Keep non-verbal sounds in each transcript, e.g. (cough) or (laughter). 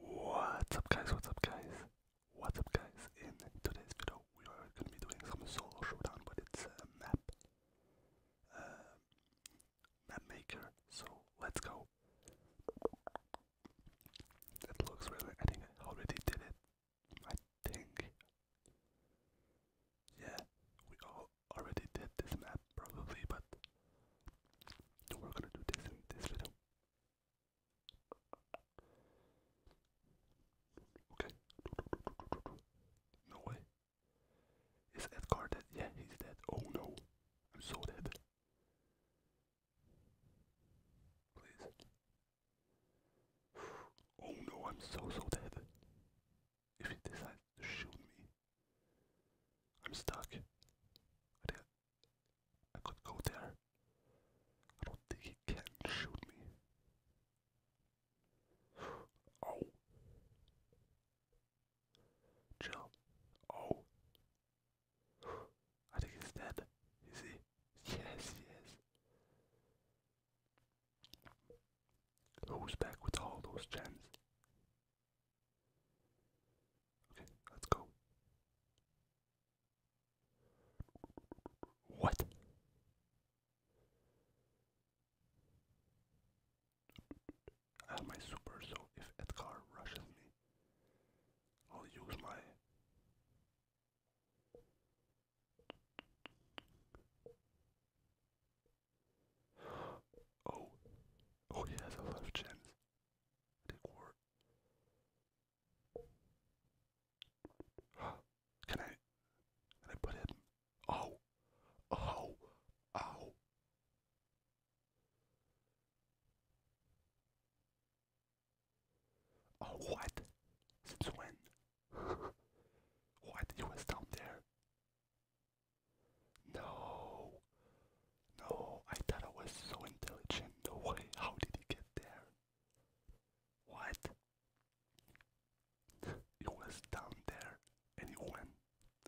What's up guys, what's up guys, what's up guys, in today's video we are going to be doing some solo showdown but it's a map, uh, map maker, so let's go. That looks really, I think I already did it, I think, yeah, we all already did this map probably but we're gonna do this in this video. Okay. No way. Is Edgar dead? Yeah, he's dead. Oh no. I'm so dead. Please. Oh no, I'm so so dead. If he decides to shoot me, I'm stuck. I could go there. I don't think he can shoot me. Oh. Chill. Oh. I think he's dead. Is he? Yes, yes. Who's back with all those gems? Okay, let's go. What? I have my super, so if Edgar rushes me, I'll use my. (gasps) Oh, oh, he has a left chance. Take ward. Can I? Can I put him? Oh, oh, oh. Oh, what? Since when? (laughs) what? He was down there. No. No, I thought I was so intelligent. No way. How did you get there? What? It (laughs) was down there and it went.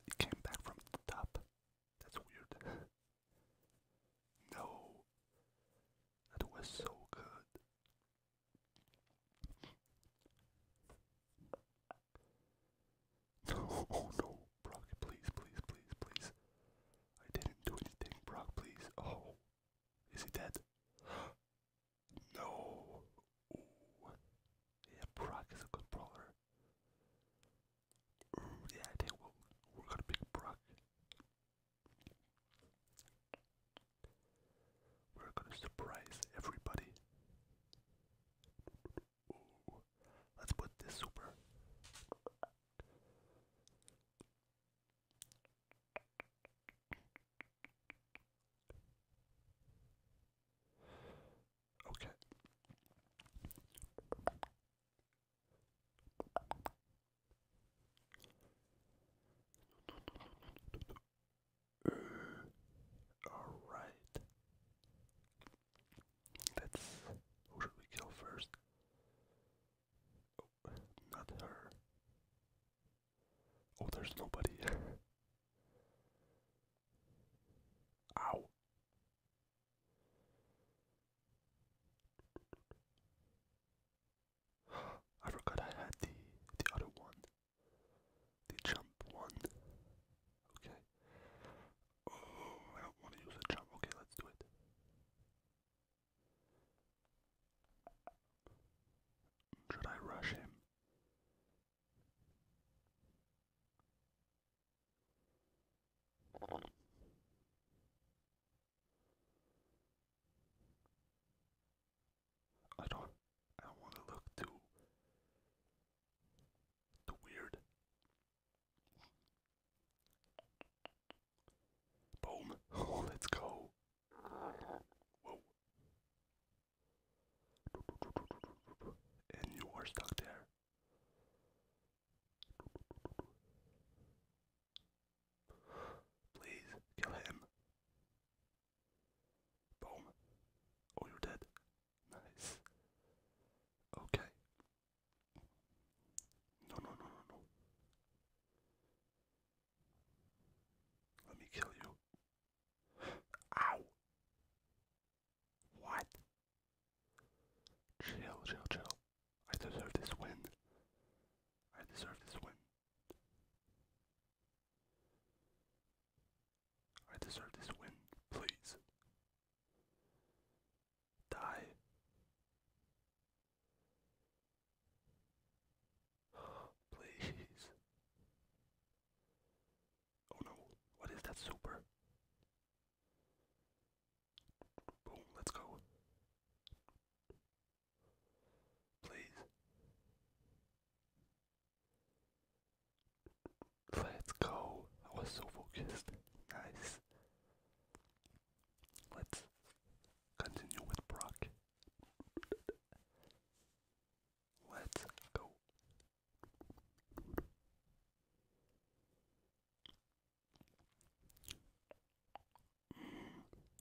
It came back from the top. That's weird. (laughs) no. That was so good. No, (laughs) oh no, Brock, please, please, please, please. I didn't do anything, Brock, please. Oh, is he dead? (gasps) no. Yeah, Brock is a good yeah, I we are gonna pick Brock. We're gonna surprise everybody. Let's put this super. Okay. all right. That's who should we kill first? Oh, not her. Oh, there's nobody. (laughs) Ow. (gasps) I forgot I had the the other one the jump one. Okay. Oh, I don't want to use a jump. Okay, let's do it. Should I rush him? I don't I don't want to look too the weird. Boom. (laughs) let's go. Whoa. And you are stuck there. Please kill him. Boom. Oh, you're dead. Nice. Okay. No, no, no, no, no. Let me kill you. Ow! What? Chill, chill, chill. I deserve this win. I deserve this win. I deserve this win, please. Die. (gasps) Please. Oh no, what is that super? Boom, let's go. Please. Let's go. I was so focused. Nice. Let's continue with Brock. Let's go.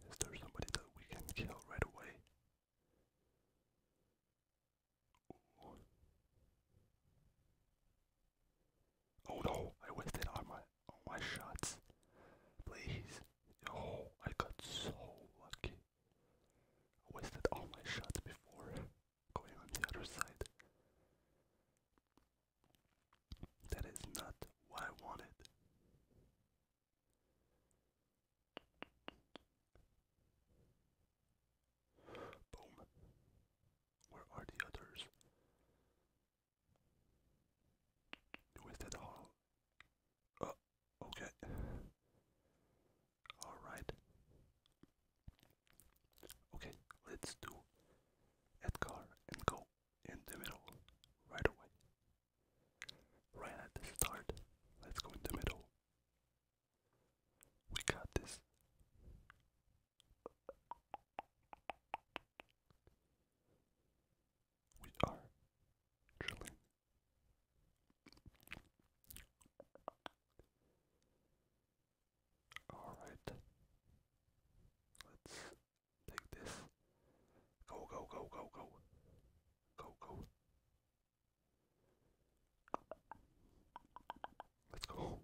Is there somebody that we can kill right away? Oh no, I wasted on my all my shots. Please. Oh, I got so lucky. I wasted all my shots before going on the other side. That is not what I wanted. Boom. Where are the others? With that hall. Oh, okay. Alright. Okay, let's do Edgar and go in the middle right away. Right at the start, let's go in the middle. We got this. We are drilling. All right. Let's take this. Go, go, go, go, go. Go, go. Let's go.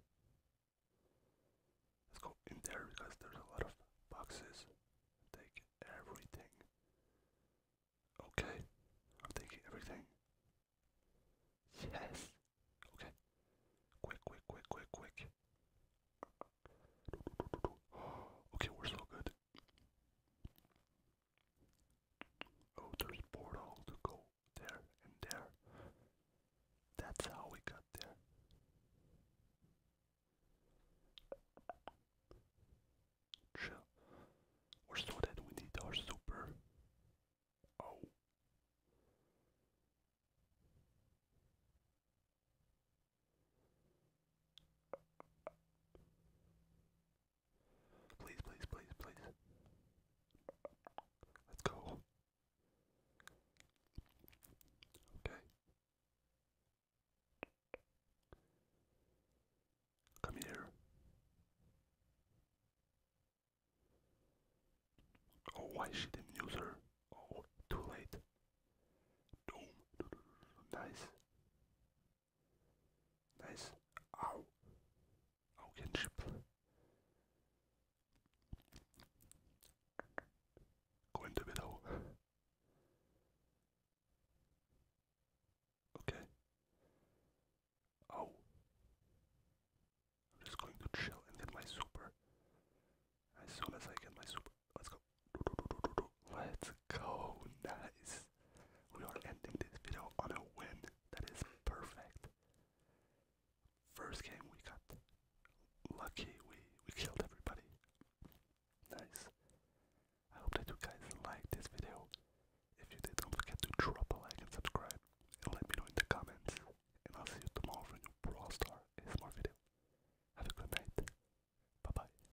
Let's go in there because there's a lot of boxes. Take everything. Okay. I'm taking everything. Yes. Okay. Quick, quick, quick, quick, quick. (gasps) Okay, we're so good. Oh, there's portal to go there and there. That's how we got there. Chill. Or so we need our super. Oh. Please, please, please, please. Let's go. Okay. Come here. Oh, why she didn't use her? Oh, too late. Doom. Nice. Nice. Au. Augenschipfel. Gå inte vid då. Okay. Oh. I'm just going to chill and get my super. As soon as I get my super. Let's go. Let's go. Nice. We are ending this video on a win. That is perfect. First game we got lucky. We we killed everybody. Nice. I hope that you guys liked this video. If you did, don't forget to drop a like and subscribe. And let me know in the comments. And I'll see you tomorrow for a new Brawl Star ASMR video. Have a good night. Bye bye.